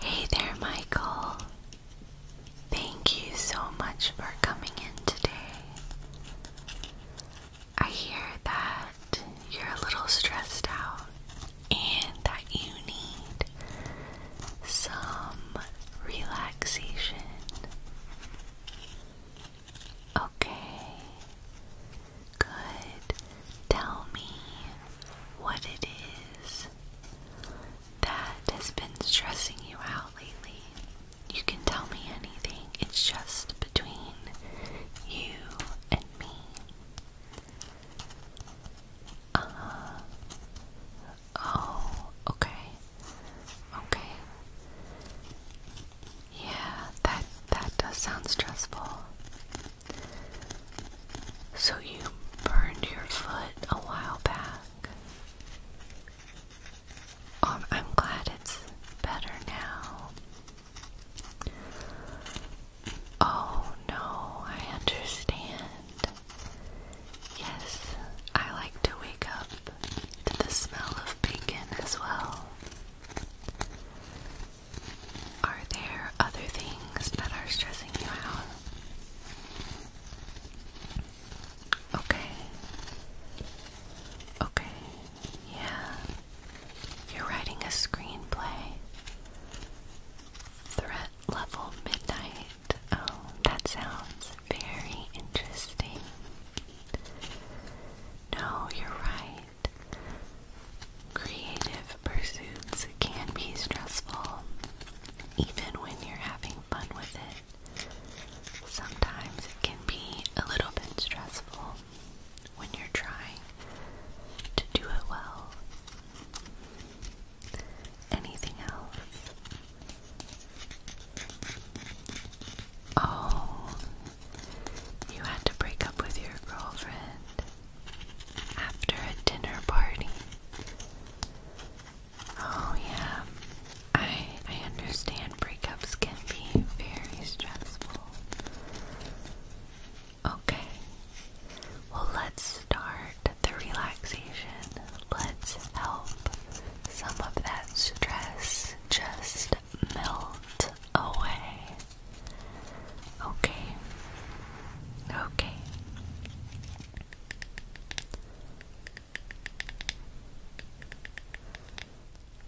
Hey there, Michael. Thank you so much for coming in today. I hear that you're a little stressed out and that you need some relaxation. Okay, good. Tell me what it is that has been stressing you out lately, you can tell me anything. It's just between you and me. Uh, oh, okay. Okay. Yeah, that that does sound stressful. So you burned your foot a while back. Um, I'm glad it's better now. Oh no, I understand. Yes, I like to wake up to the smell of bacon as well. Are there other things that are stressing you out? Okay. Okay. Yeah. You're writing a screenplay. Threat level midnight. Oh, that sounds very interesting. No, you're right. Creative pursuits can be stressful, even when you're having fun with it. Sometimes it can be a little bit stressful when you're trying to do it well. Anything else? Oh, you had to break up with your girlfriend after a dinner party. Oh yeah. I I understand breakups can be very stressful. Okay. Well, let's start the relaxation. Let's help some of that stress just melt away. Okay. Okay.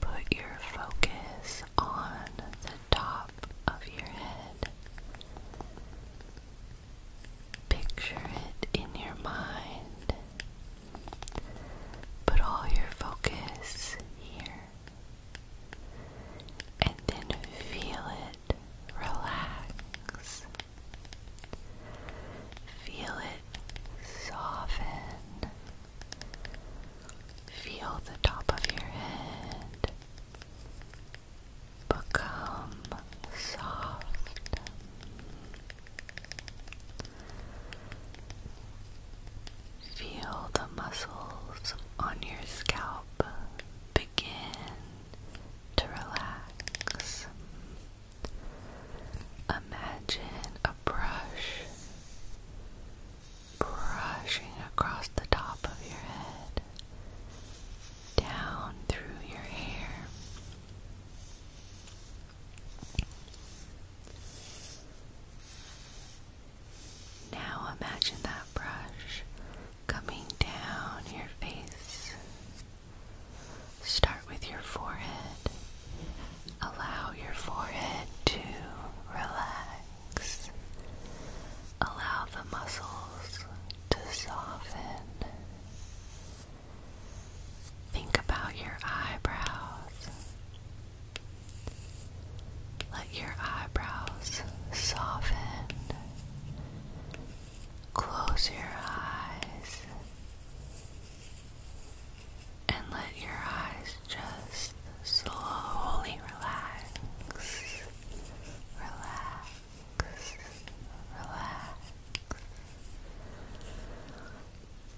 Put your focus on the top of your head. Picture it in your mind. Put all your focus here. And then feel it relax. Feel it soften. Feel the top of your head become soft. Feel the muscles on your scalp begin to relax. Imagine a brush brushing across the top of your head, down through your hair. Now imagine that brush coming down your face. Start with your forehead. Allow your forehead to relax. Allow the muscles to soften. Think about your eyebrows. Let your eyebrows soften Close your eyes and let your eyes just slowly relax. Relax. Relax.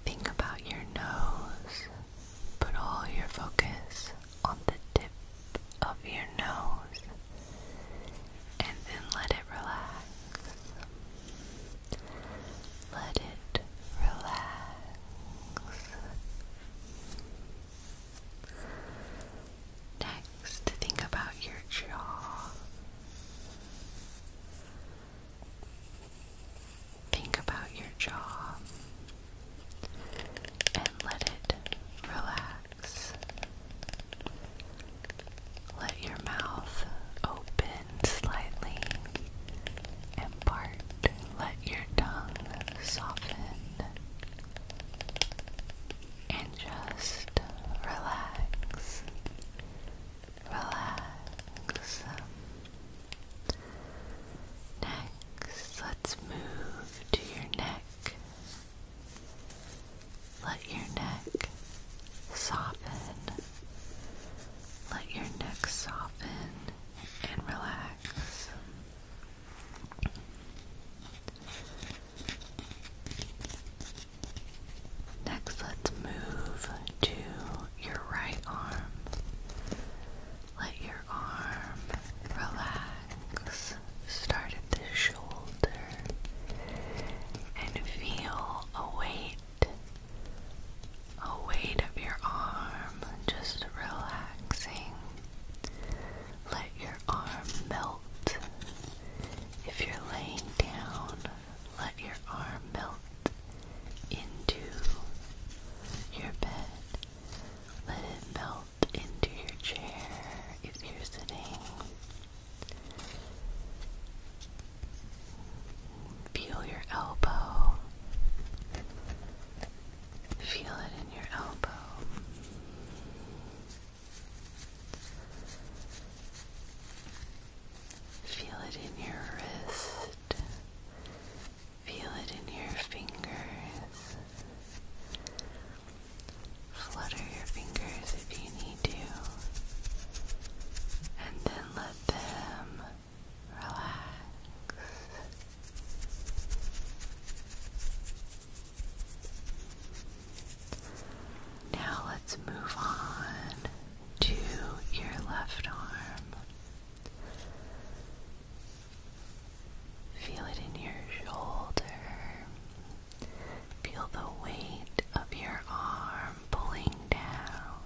Think about your nose. Put all your focus on the tip of your nose and then let it relax. Let it relax. Next, think about your jaw. Think about your jaw and let it relax. Let your mouth open slightly and part. Let your tongue soften and just relax. Relax. Next, let's move to your neck let your neck soften. Let your neck soften and relax. Next, let's move to your right arm. Let your arm relax start at the shoulder and feel a weight, a weight of your arm just relaxing. Let your arm melt. If you're laying down, let your arm melt into your bed. Let it melt into your chair if you're sitting. Feel your elbow. Feel it in your elbow. Feel it in your wrist. Feel it in your fingers. Flutter your fingers if you need to, and then let them relax. Now let's move on to your left arm. Feel it in your shoulder. Feel the weight of your arm pulling down.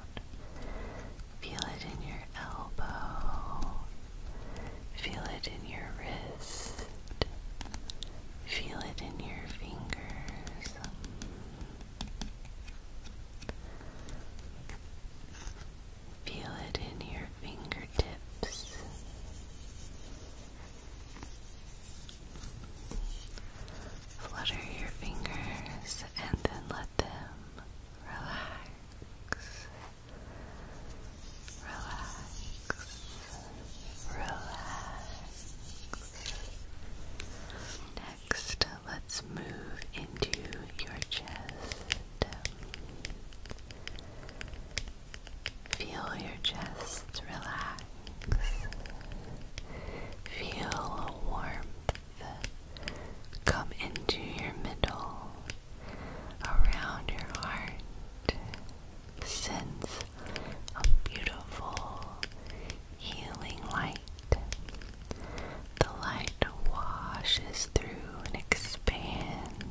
Feel it in your elbow. Feel it in your wrist. Feel it in your fingers. Feel it in your fingertips. Flutter your fingers and then let them relax. Relax. Relax. Next, let's move into your chest. Feel your chest relax. Feel a warmth come into your middle, around your heart. Sense a beautiful healing light. The light washes through and expands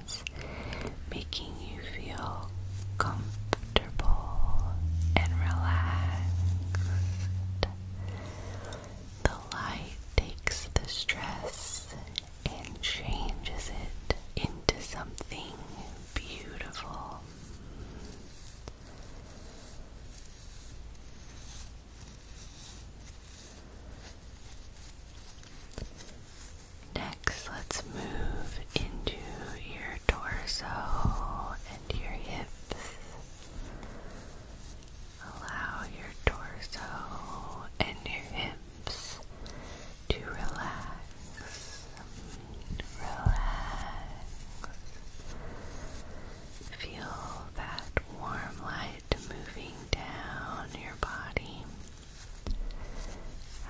making you feel comfortable and relaxed. The light takes the stress and changes it into something beautiful. Next, let's move into your torso and your hips. Allow your torso and your hips to relax. Relax. Feel that warm light moving down your body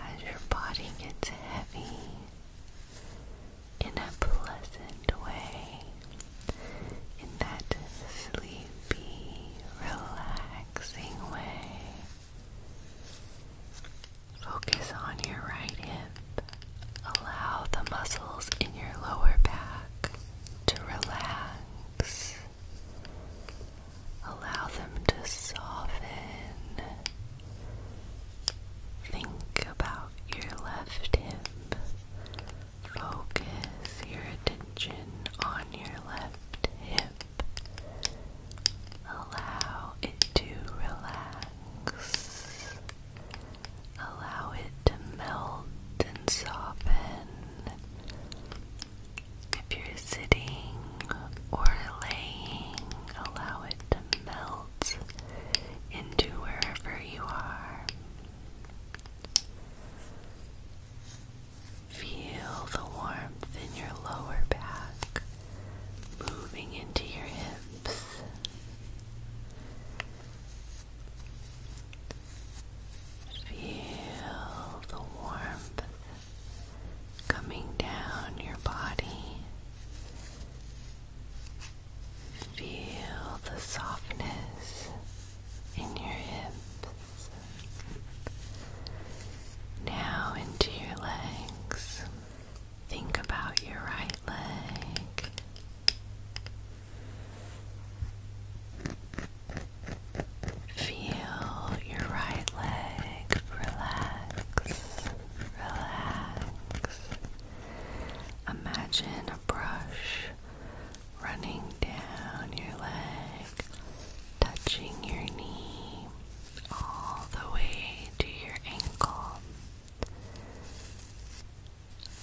as your body gets heavy in a pleasant way, in that sleepy, relaxing way. Focus on your right hip. Allow the muscles in your lower back to relax Allow them to soften. Think about your left hip. Focus your attention on your left hip. Allow it to relax. Allow it to melt and soften. If you're sitting or laying, allow it to melt into wherever you are. Feel the warmth in your lower back moving into your hips. Feel the warmth coming down your body. Feel the softness in your hips. Now into your legs. Think about your right leg. Feel your right leg relax, relax. Imagine a brush running down your leg, touching your knee all the way to your ankle.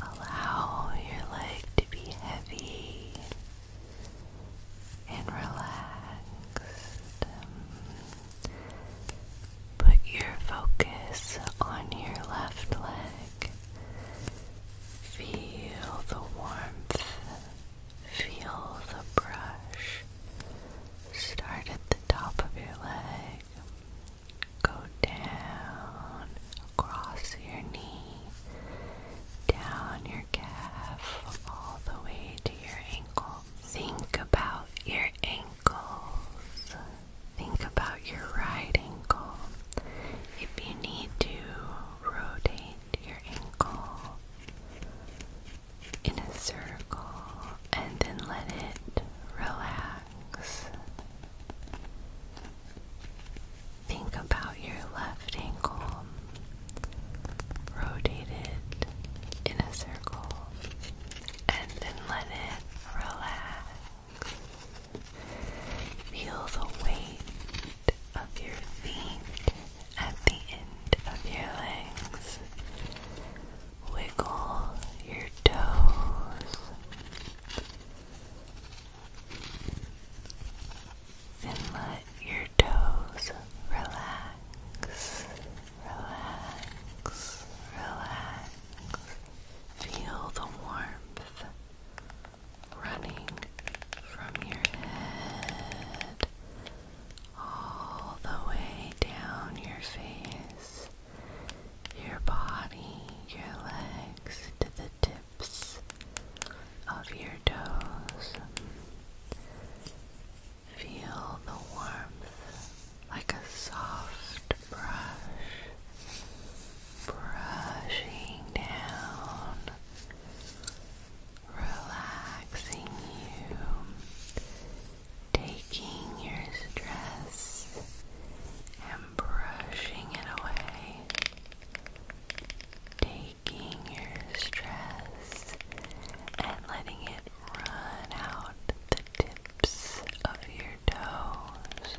Allow your leg to be heavy and relax. Put your focus on your left leg. Feel the warmth. Feel the brush. Start at the top of your leg. Go down across your knee down your calf all the way to your ankle. Think about your ankles. Think about your right ankle. If you need to, rotate your ankle in a circle and then let it relax. Think about your left ankle rotate it in a circle, and then let it relax. Feel the weight of your feet at the end of your legs. Wiggle your toes and let your toes relax, relax, relax. Feel the warmth running from your head all the way down your face, your body, your legs to the tips of your toes. Feel the warmth like a soft brush brushing down, relaxing you, taking your stress and brushing it away. Taking taking your stress and letting it run out the tips of your toes.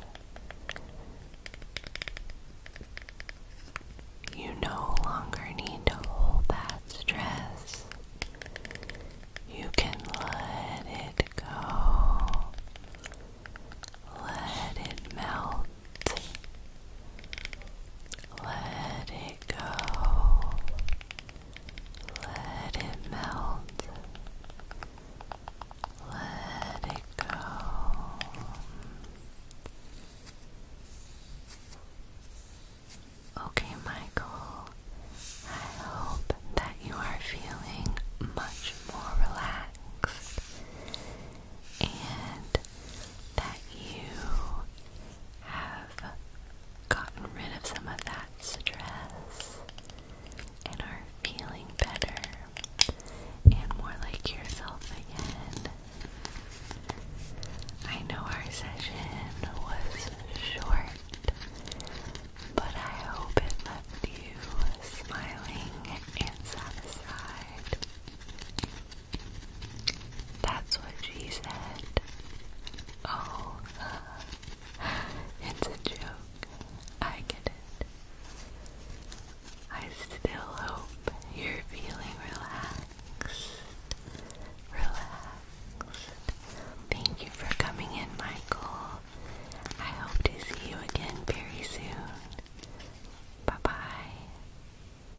You no longer need to hold that stress. You can let it go. Let it melt. Let it it go. Let it melt. Let it go. Okay, Michael, I hope that you are feeling much more relaxed and that you have gotten rid of some of that stress and are feeling better and more like yourself again. I know our session was short, but I hope it left you smiling and satisfied. That's what she said. Oh, uh, it's a joke. I get it. I still hope you're feeling relaxed. Relaxed. Thank you for coming in, Michael. I hope to see you again very soon. Bye bye.